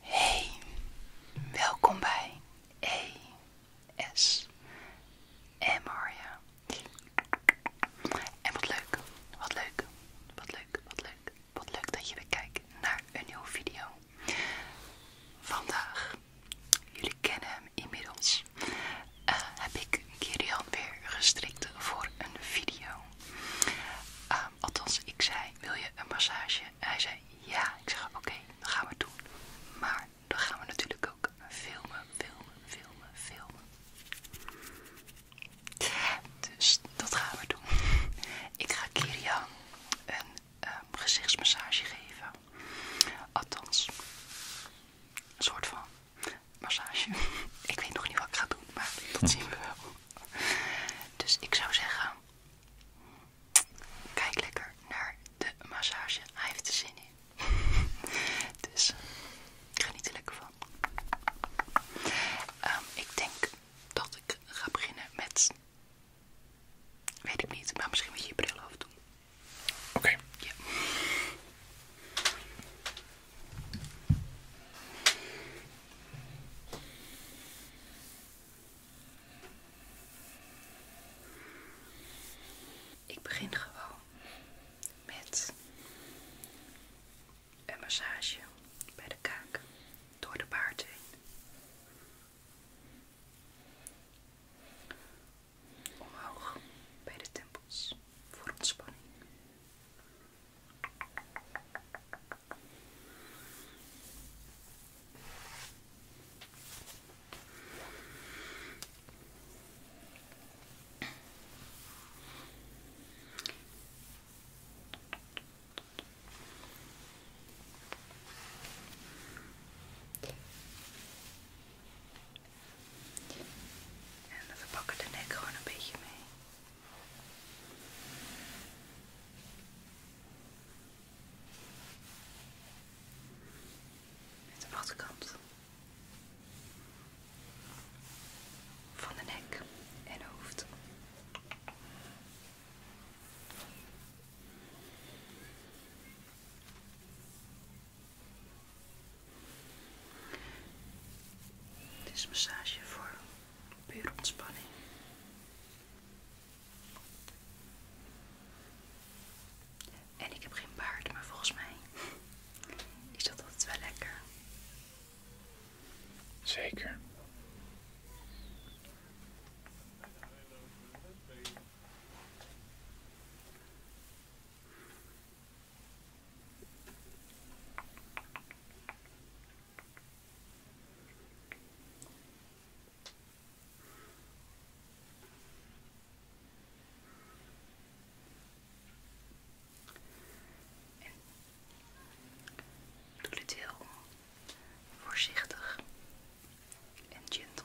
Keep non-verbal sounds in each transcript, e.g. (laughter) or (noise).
Hey, welkom bij AS en En wat leuk, wat leuk, wat leuk, wat leuk, wat leuk dat je weer kijkt naar een nieuwe video. Vandaag, jullie kennen hem inmiddels. Eh, heb ik Kirian weer gestrikt voor een video. Ehm, althans, ik zei, wil je een massage? Hij zei, ja. Ik zeg, oké, dan gaan we doen. Maar dan gaan we natuurlijk ook filmen, filmen, filmen, filmen. Dus dat gaan we doen. (laughs) Ik ga Kirian een ehm, gezichtsmassage geven. Althans, een soort van massage. (laughs) ik weet nog niet wat ik ga doen, maar dat zien we wel. Dus ik zou zeggen, kijk lekker naar de massage. Hij heeft er zin in. (laughs) dus eh, geniet er lekker van. Ehm, ik denk dat ik ga beginnen met, weet ik niet, maar misschien moet je je bril afdoen. Oké. Ik begin gewoon met een massage bij de kaak door de baard heen omhoog bij de tempels voor ontspanning. En we pakken de nek gewoon een beetje mee. Met de achterkant van de nek en hoofd. Dit is massage voor puur ontspanning. En ik heb geen baard, maar volgens mij is dat altijd wel lekker. Zeker. En doe dit heel voorzichtig en gentle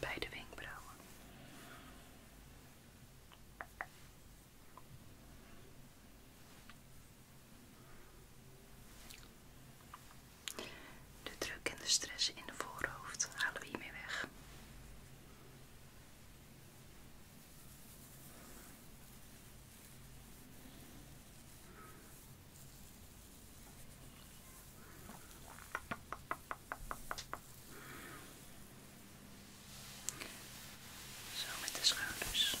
bij de wenkbrauwen. De druk en de stress in de voorhoofd halen we hiermee weg. Zo met de schouders.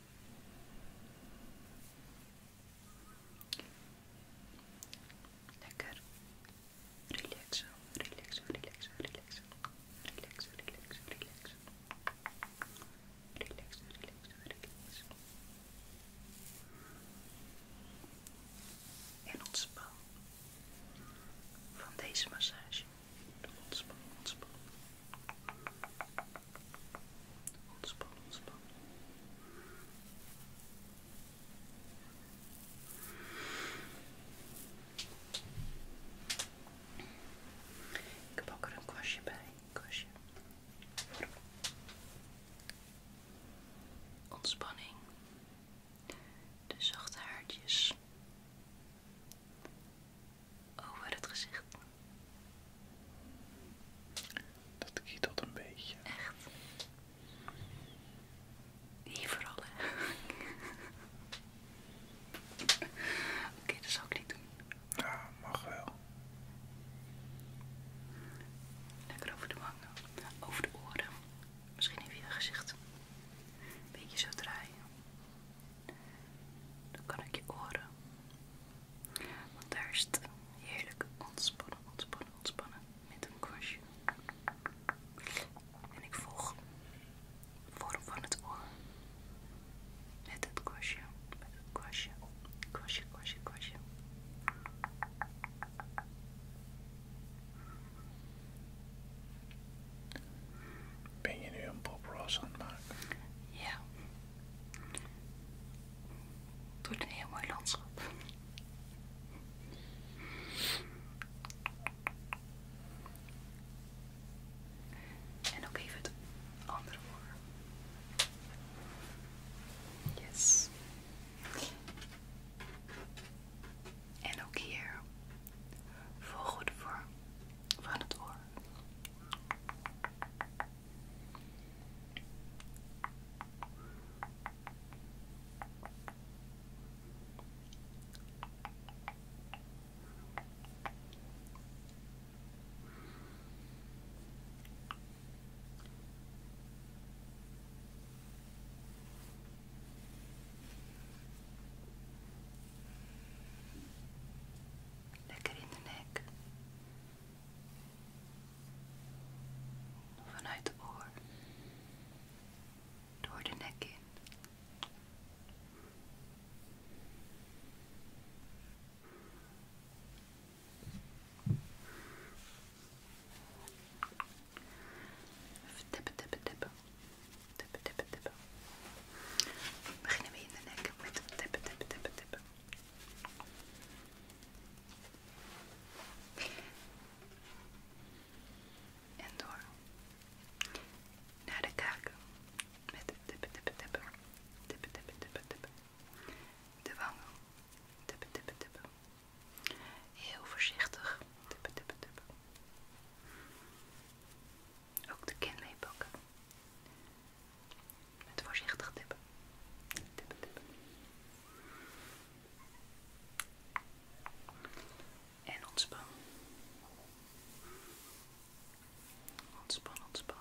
Lekker. Relaxen, relaxen, relaxen, relaxen. Relaxen, relaxen, relaxen. Relaxen, relaxen, relax En ontspan van deze massage. Ontspan, ontspan. Ontspan, Ik pak er een kwastje bij. Kwastje. Ontspanning. De zachte haartjes over oh, het gezicht. Dat kietelt een beetje. Echt. Hier vooral, hè. (laughs) Oké, dat zal ik niet doen. Ja, mag wel. Lekker over de wangen, over de oren. Misschien even je gezicht een beetje zo draaien. Dan kan ik je oren. Want daar is het heerlijk ontspannen, ontspannen, ontspannen met een kwastje. En ik volg de vorm van het oor. Met het kwastje, met het kwastje, kwastje, kwastje, kwastje. Ben je nu een Bob aan het maken? Ja. Het een heel mooi landschap. En ook even het andere voor. Yes. En ook hier. Volg goed voor van het oor. Lekker in de nek. Vanuit de oor. Door de nek in. Even tippen, tippen, dip. Tippe, tippe, tippe. beginnen we in de nek met tippen, tippe, tippe, tippe. En door naar de kaak. met tippen, tippe, tippe. Tippe, tippe, tippe, tippe. De wangen. Tippe, tippe, tippe. Heel voorzichtig. Tippe, tippe, tippe. Ook de kin pakken, Met voorzichtig tippen. En ontspan. Ontspan, ontspan. Ontspan.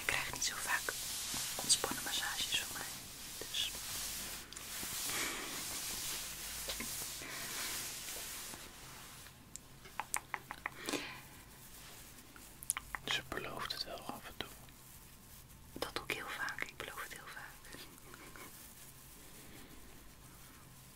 Ik krijg niet zo vaak ontspannen massages van mij. Dus. Ze belooft het wel af en toe. Dat doe ik heel vaak. Ik beloof het heel vaak.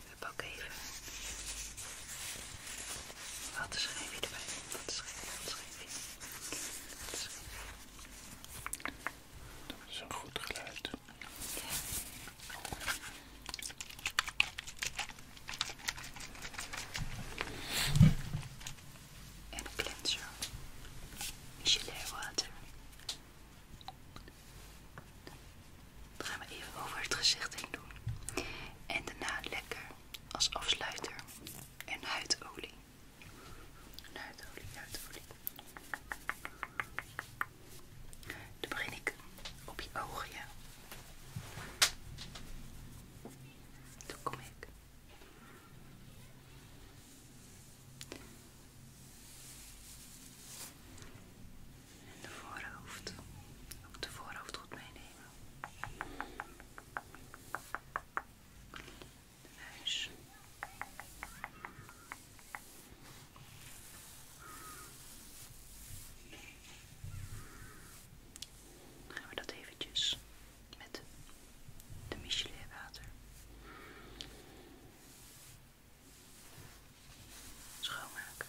Ik pak even wat schrijfje erbij. Wat wat Dat is een goed geluid. En een cleanser. Michelet water. Dat gaan we even over het gezicht heen doen. En daarna lekker als afsluiter een huidolie. huidolie, huidolie. Dan begin ik op je ogen, ja. Dan kom ik. in de voorhoofd. Ook de voorhoofd goed meenemen. De neus. Dan gaan we dat eventjes met de Michelin water schoonmaken.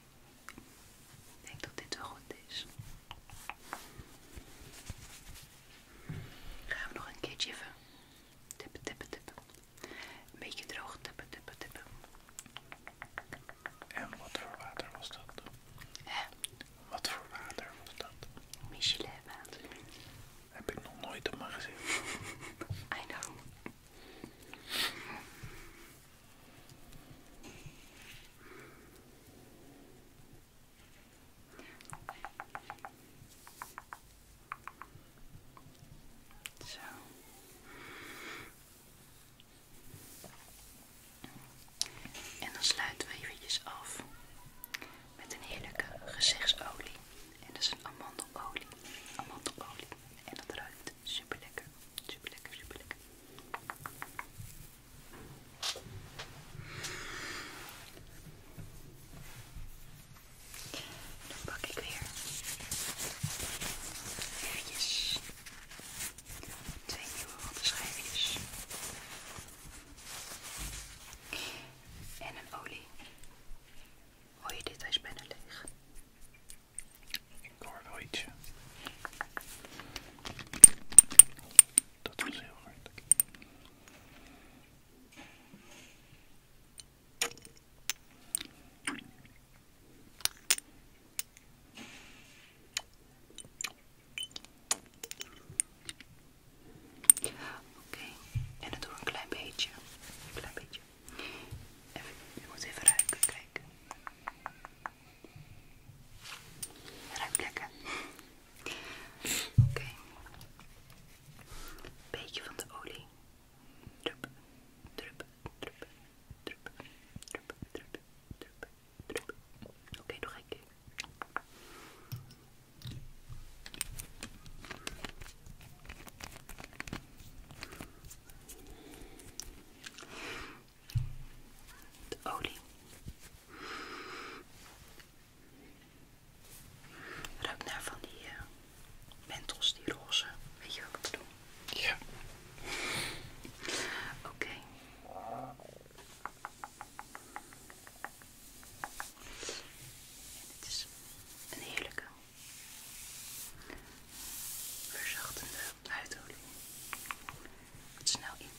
Ik denk dat dit wel goed is. Gaan we nog een keertje even tippen, tippen, tippen. Een beetje droog tippen, tippen, tippen. En wat voor water was dat? Eh, Wat voor water was dat? Michelin water. Heb ik nog nooit op mijn gezicht (laughs) I know. En dan sluiten we eventjes af met een heerlijke gezichtsolie. En dat is een amandelolie. Amandelolie. En dat ruikt Superlekker, super lekker. Super lekker, super lekker. Dan pak ik weer eventjes twee nieuwe wattenschijfjes en een olie. Hoor je dit? Hij is bijna leeg. Ik hoor wel ietsje. Dat was heel hard. Oké, en dan doe ik een klein beetje. Een klein beetje. Even, je moet even ruiken, kijk. Ruimt Oké. Beetje van de olie. Drup, drup, drup, drup, drup, drup, drup, Oké, de olie. Ruikt naar van die uh, eh, mentels, die roze. Weet je wat ik bedoel? Ja. Oké. Dit is een heerlijke verzachtende huidolie. het snel intrekt.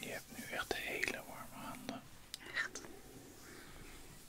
Je hebt nu echt hele warme handen.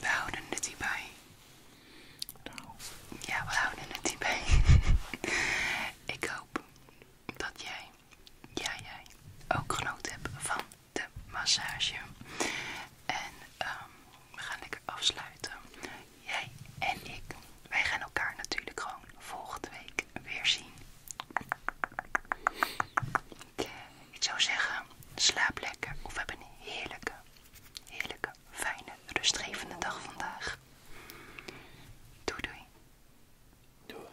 We houden het hierbij. bij. Ja, we houden het hierbij. (laughs) Ik hoop dat jij, jij, jij, ook genoten hebt van de massage. En ehm, we gaan lekker afsluiten. Jij en ik, wij gaan elkaar natuurlijk gewoon volgende week weer zien. Eh, ik zou zeggen, slaap lekker of hebben een heerlijke, heerlijke, fijne, rustgevende dag vandaag. doei. Doei.